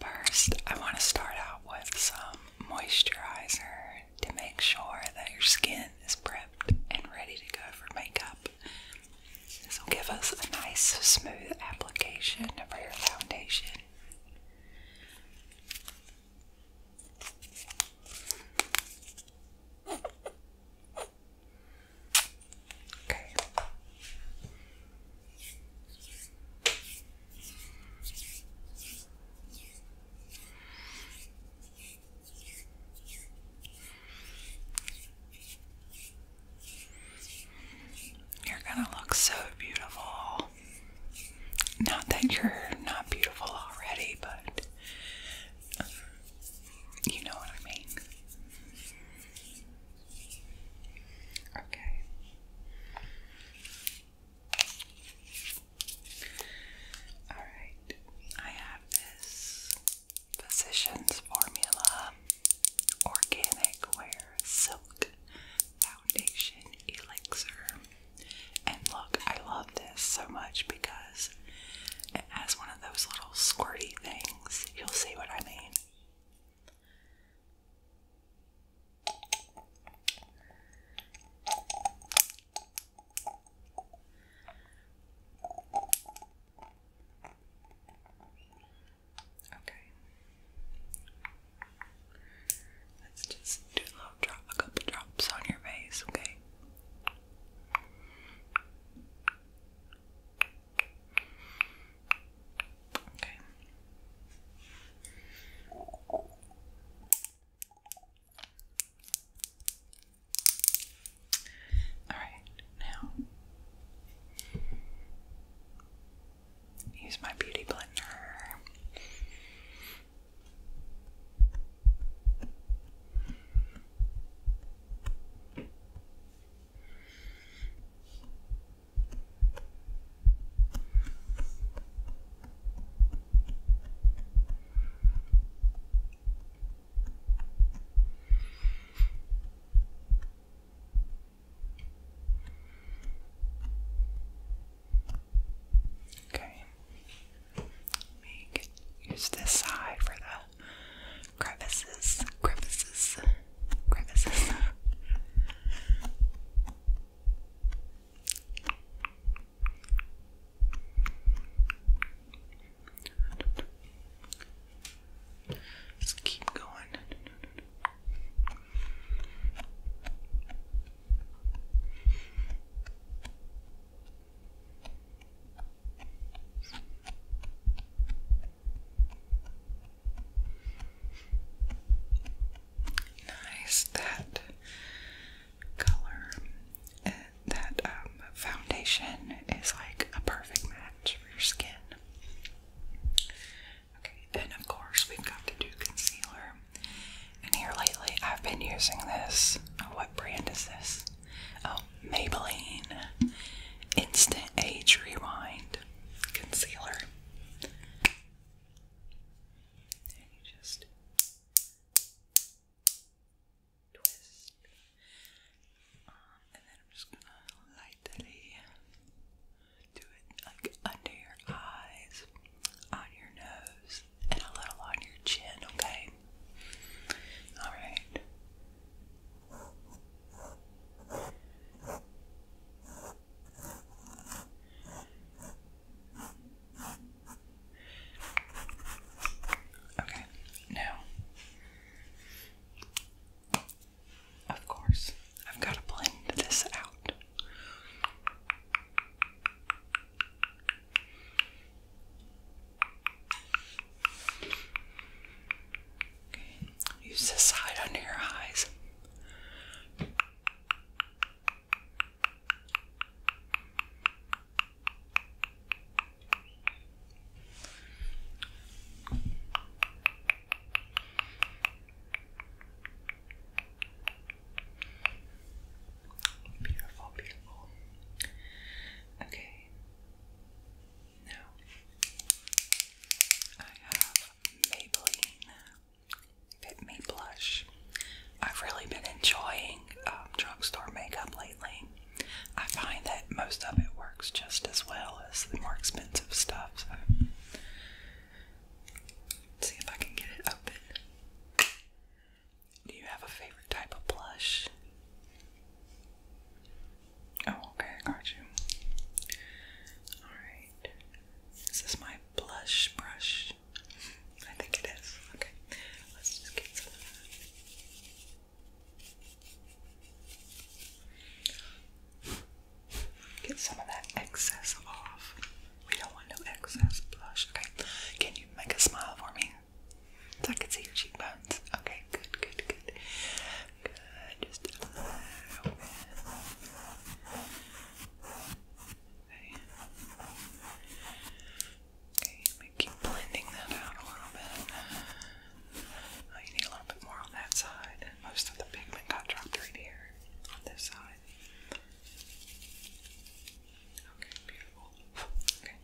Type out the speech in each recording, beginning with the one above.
First, I want to start out with some moisturizer to make sure that your skin is prepped and ready to go for makeup. This will give us a nice smooth application for your foundation. Okay. You're gonna look so beautiful. Not that you're not beautiful already, but um, you know what I mean. Okay. Alright, I have this Physicians Formula Organic Wear Silk Foundation Elixir. And look, I love this so much because it has one of those little squirty things. You'll see what I mean. Okay. Let's just do a couple drops on your face, okay? Okay. Alright, now use my beauty blender. Okay. You can use this side for the crevices, crevices crevices. Just keep going. Nice that color and that um, foundation is like a perfect match for your skin. and of course we've got to do concealer. And here lately I've been using this. Oh, what brand is this? Oh, Maybelline Instant Age Rewind concealer. And you just twist. and then I'm just gonna lightly do it like under your eyes, on your nose, and a little on your chin, okay? Alright. Okay, now, of course, I've got to blend this out. Use the side under your eyes. Beautiful, beautiful. Okay. Now I have Maybelline Fit Me Blush. I've really been enjoying um, drugstore makeup lately. I find that most of it works just as well as the more expensive stuff. So. see if I can get it open. Do you have a favorite type of blush? Oh, okay, I got you. Alright. This Is my blush brush? I think it is. Okay, let's just get some of that. Get some of that excess off. We don't want no excess blush. Okay, can you make a smile for me? So I can see your cheekbones. Okay, good, good, good. Good. Just a little bit. Okay. Okay, let keep blending that out a little bit. Oh, need a little bit more on that side. Most of the pigment got dropped right here this side. Okay, beautiful. Okay.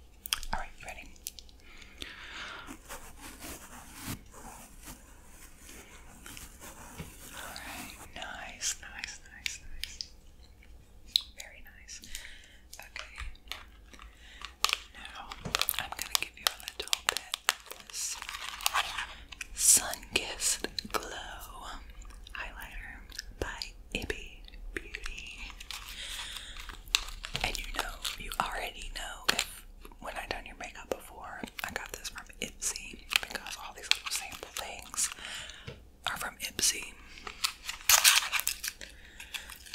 Alright, ready? Alright, nice, nice, nice, nice. Very nice. Okay. Now I'm gonna give you a little bit of this Sun-Kissed Glow highlighter by Ibby Beauty. And you know, you already know if when I've done your makeup before I got this from Ipsy because all these little sample things are from Ipsy.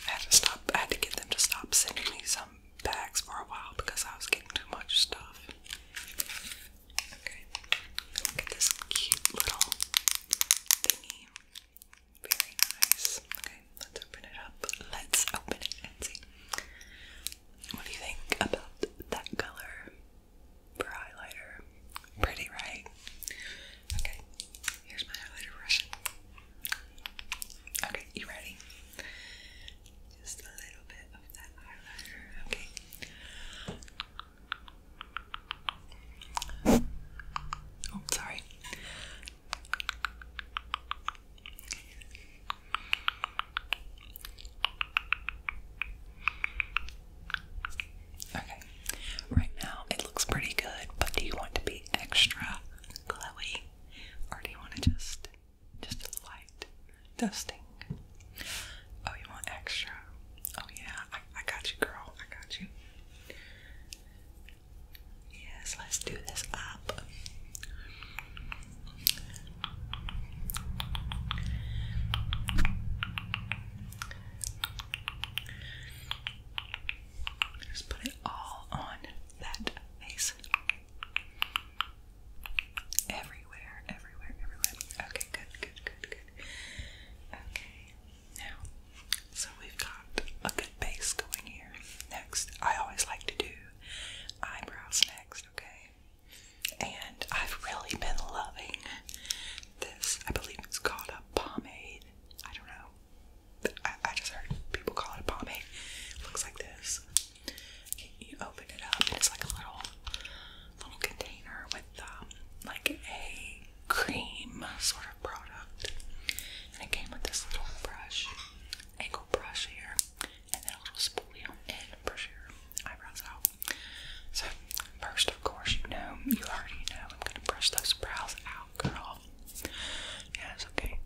I had to stop. I had to get them to stop sending me some bags for a while because I was getting too much stuff. Okay, look at this cute little thingy. Very nice. Okay, let's open it up. Let's open it and what do you think about that color for highlighter? Pretty, right? Okay, here's my highlighter brush. Okay, you ready? Just a little bit of that highlighter. Okay. Oh, sorry. Okay, right now it looks pretty good, but do you want to be extra glowy or do you want to just just a light dusting? Oh, you want extra? Oh yeah, I, got you, girl. I got you. Yes, let's do this up. Just put it all on that face. Everywhere, everywhere, everywhere. Okay, good, good, good, good. Okay, now, so we've got a good base going here. Next, I always like to do eyebrows next, okay? and I've really been loving this. I believe it's called a pomade. I don't know. I, just heard people call it a pomade. It looks like this. You open it up, and it's like a little little container with um, like a cream sort of product. And it came with this little brush, angled brush here and then a little spolium and brush your eyebrows out. So, first, of course, you know, you already know, I'm gonna brush those brows out, girl. Yeah, okay.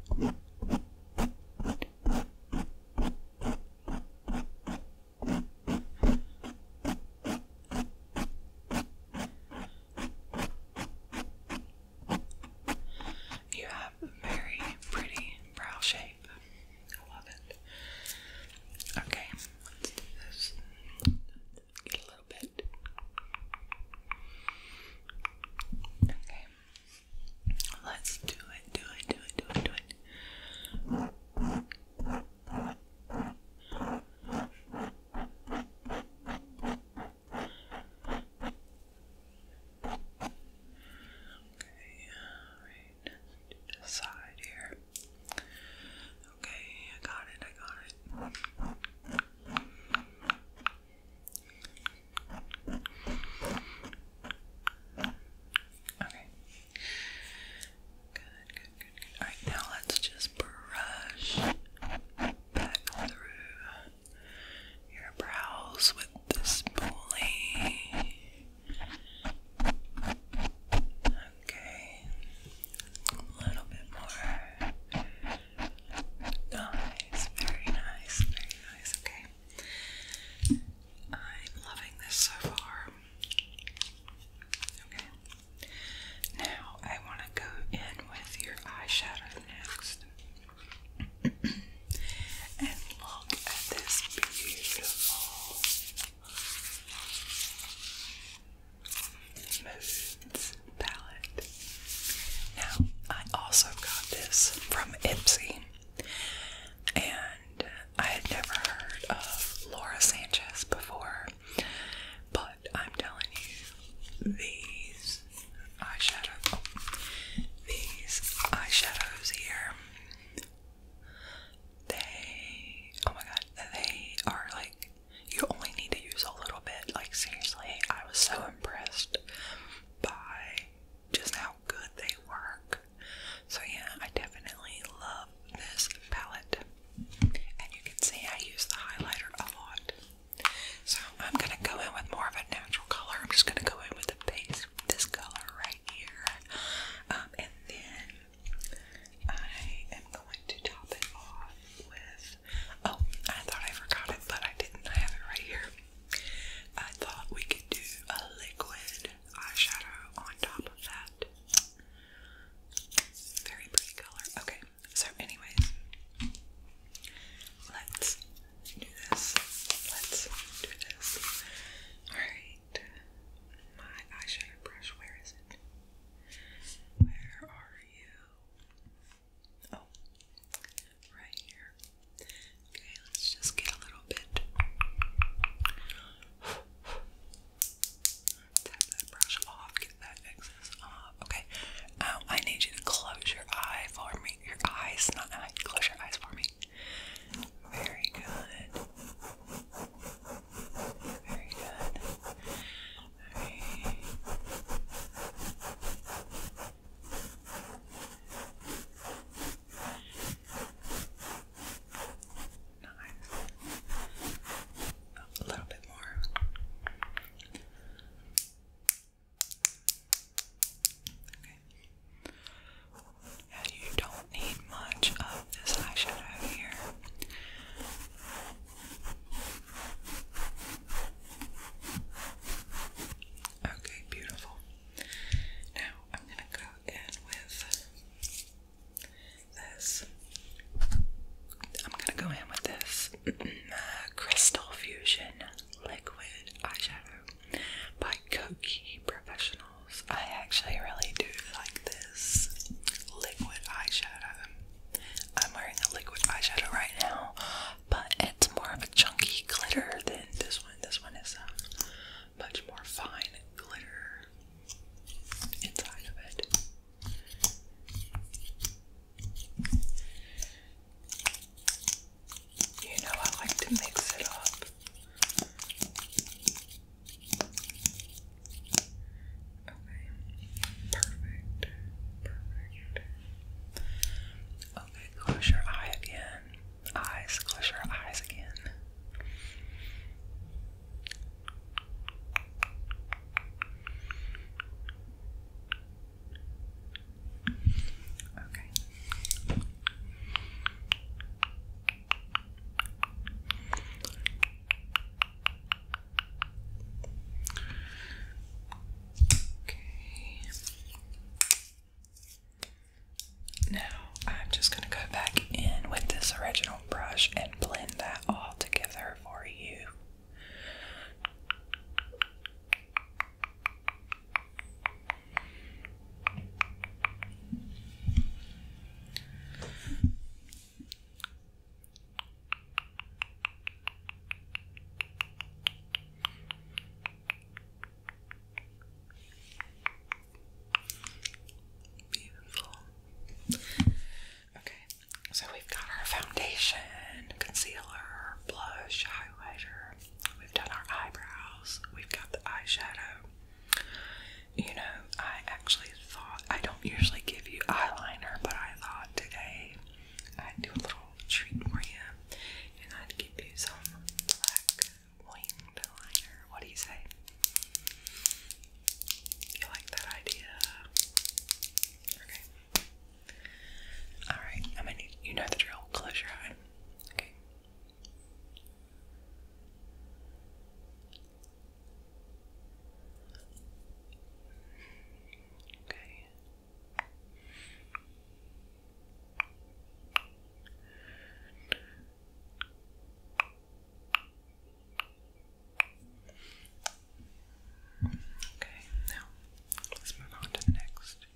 You have very pretty brow shape. I love it. Okay, let's do this. Get a little bit. Okay. Let's do it, do it, do it, do it, do it. Okay, alright, do here. Okay, I got it, I got it. Okay. Good, good, good, good. Alright, now let's just brush back through your brows with this bully. Okay, a little bit more. Nice, very nice, very nice. Okay, I'm loving this so far. Okay, now I want to go in with your eyeshadow next. And look at this beautiful moods palette. Now, I also got this from Ipsy, and I had never heard of Laura Sanchez before, but I'm telling you, these eyeshadow, oh, these eyeshadows here they, oh my god, they are like, you only need to use a little bit. Like, seriously, I was so impressed by just how good they work. So, yeah, I definitely love this palette. And you can see I use the highlighter a lot. So, I'm gonna go in with more of a natural color. I'm just gonna go in with the base, this color right here. Um, and then I am going to top it off with. Oh, I thought I forgot it, but I didn't. I have it right here. I thought we could do a liquid eyeshadow on top of that. Very pretty color. Okay, so, anyways, let's do this. Let's do this. Alright my eyeshadow brush. Where is it? Where are you? Oh, right here. Okay, let's just get a little bit. Tap that brush off, get that excess off. Okay, um, I need you to close your eye for me. Your eyes, not eye. Close your eyes for me. Very good. Very good. Very... Nice. A little bit more. Okay you don't need much of this eyeshadow here. Okay, beautiful. Now I'm gonna go in with this. I'm gonna go in with this Crystal Fusion Liquid Eyeshadow by Cookie Professionals. I actually really do like this liquid eyeshadow. I'm wearing a liquid eyeshadow right now, but it's more of a chunky glitter than this one. This one is a much more fine glitter inside of it. You know, I like to mix it up. Okay, perfect, perfect. Okay, close your eye again. Eyes, close your eyes again. Okay. Now I'm just going to go back in with this original brush and blend that all together for you. Beautiful. Okay, so we've got our foundation, concealer, blush, highlighter. We've done our eyebrows. We've got the eyeshadow. You know, I actually thought I don't usually give you eyeliner, but I thought today I'd do a little treat for you and I'd give you some black winged liner. What do you say? You like that idea? Okay. Alright, I'm you know the drill. Close your eye. Okay. Okay. Okay, now let's move on to the next.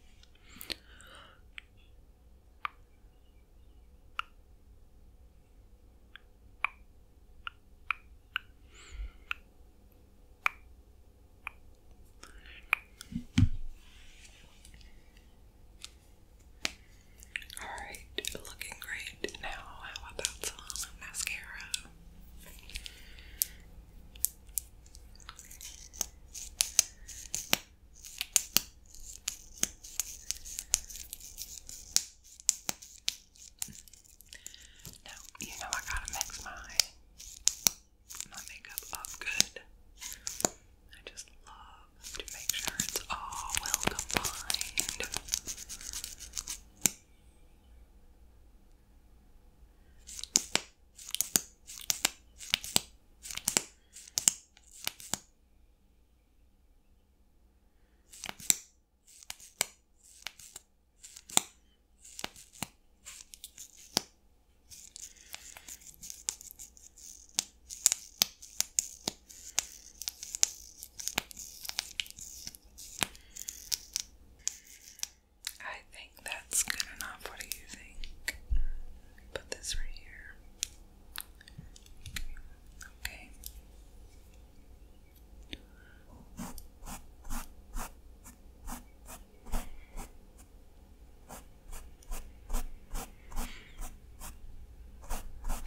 Alright, looking great now. How about some mascara? Now, you know I gotta mix my my makeup up good. I just love to make sure it's all well combined. I think that's good enough. What do you think? Put this right here. Okay.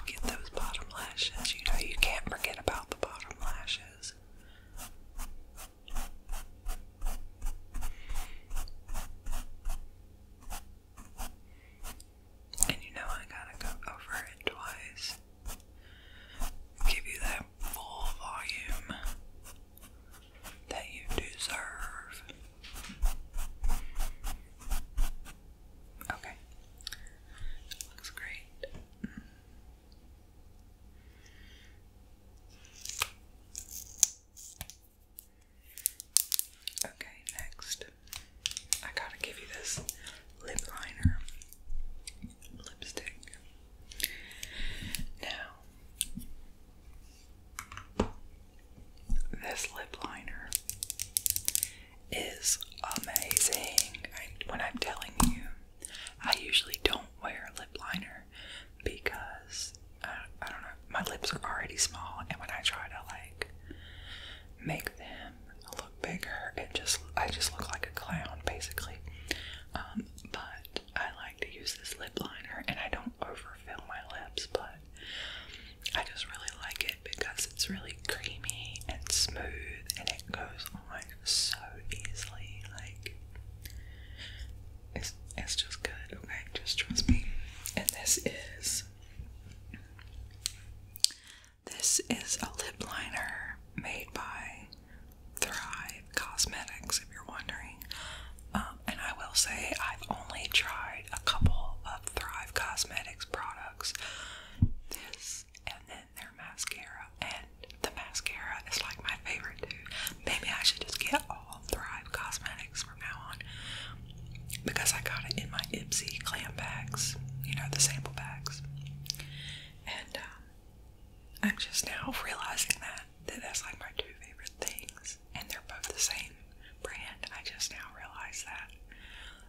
Get those bottom lashes. You know, you can't forget about the bottom lashes. And you know I gotta go over it twice. Give you that full volume that you deserve. Okay. Looks great. Okay, next. I gotta give you this lip liner lipstick. Now, this lip liner is amazing. I, when I'm telling you, I usually don't wear lip liner because I don't know my lips are already small, and when I try to like make them look bigger, it just I just look like a clown basically. Um, but I like to use this lip liner, and I don't overfill my lips, but I just really like it because it's really creamy and smooth, and it goes on so easily. Like it's it's just good. Okay, just trust me. And this is this is a lip liner made by Thrive Cosmetics, if you're wondering. Um, and I will say, I've only tried a couple of Thrive Cosmetics products. This and then their mascara, and the mascara is like my favorite, too. Maybe I should just get all Thrive Cosmetics from now on because I got it in my Ipsy clam bags, you know, the sample bags. And um, I'm just now realizing that, that's like my two favorite things, and they're both the same brand. I just now realize that.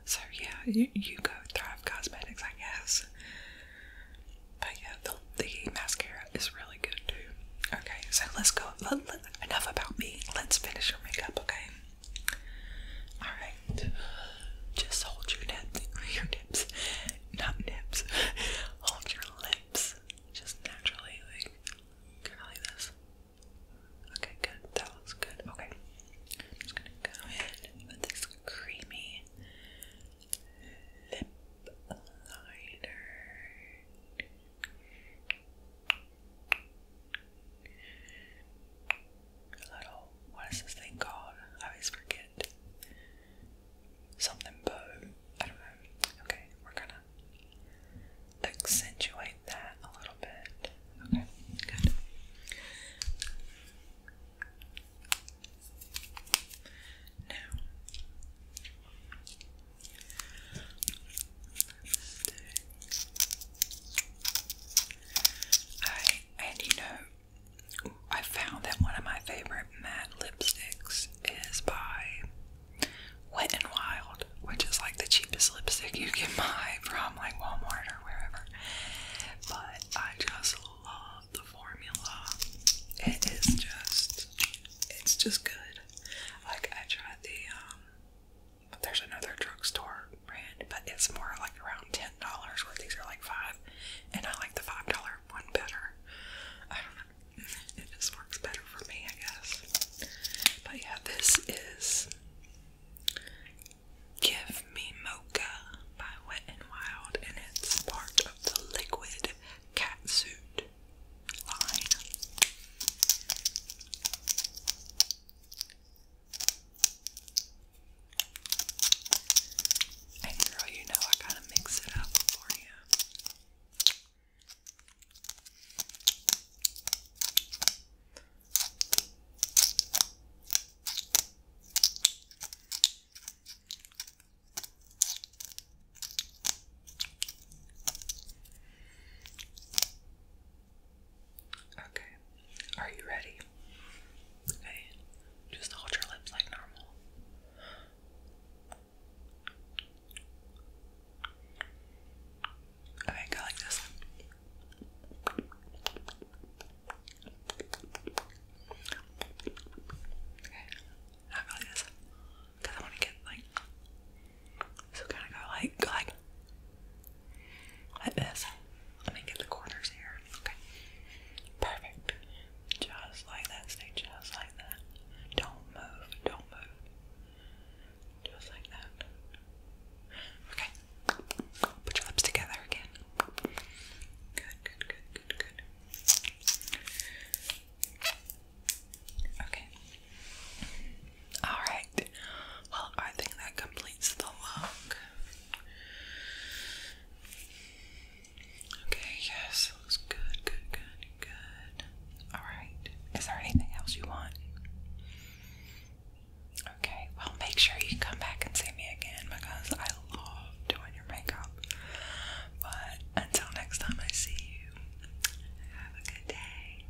So, yeah, you, go Thrive Cosmetics, I guess. But yeah, the, the mascara is really good too. Okay, so let's go. enough about me. Let's finish your makeup, okay? Alright. Just hold your nips. Your nips. Not nips. Hold your lips. Just naturally, like, kind of like this. Okay, good. That looks good. Okay. just gonna go in with this creamy lip liner. A little, what is this thing called? I always forget. Something bow. I don't know. Okay, we're gonna accentuate that a little bit. Okay, good. Now, and you know I found that one of my favorite matte lipsticks is by Wet n Wild, which is like the cheapest lipstick you can buy from like Walmart or wherever. But I just love the formula. It is just it's just good. Like I tried the um there's another drugstore brand, but it's more like around ten dollars, where these are like five, and I like the five dollar one better. I don't know. It just works better for me, I guess. But yeah, this is Give Me Mocha by Wet and Wild, and it's part of the liquid catsuit line. And girl, you know I gotta mix it up for you. Okay. Are you ready? Okay. Just hold your lips like normal. Okay, go like this. Okay. Not really this. Because I want to get like so kind of go like, like, like this. Let me get the corners here. Okay. Perfect. Just like that. Stay just like that. Don't move. Don't move. Just like that. Okay. Put your lips together again. Good, good, good, good, good. Okay. Alright, well, I think that completes the look. Okay, yes, it looks good, good, good, good. Alright, is there anything else you want? Okay, well, make sure you come back and see me again because I love doing your makeup. But until next time I see you, have a good day.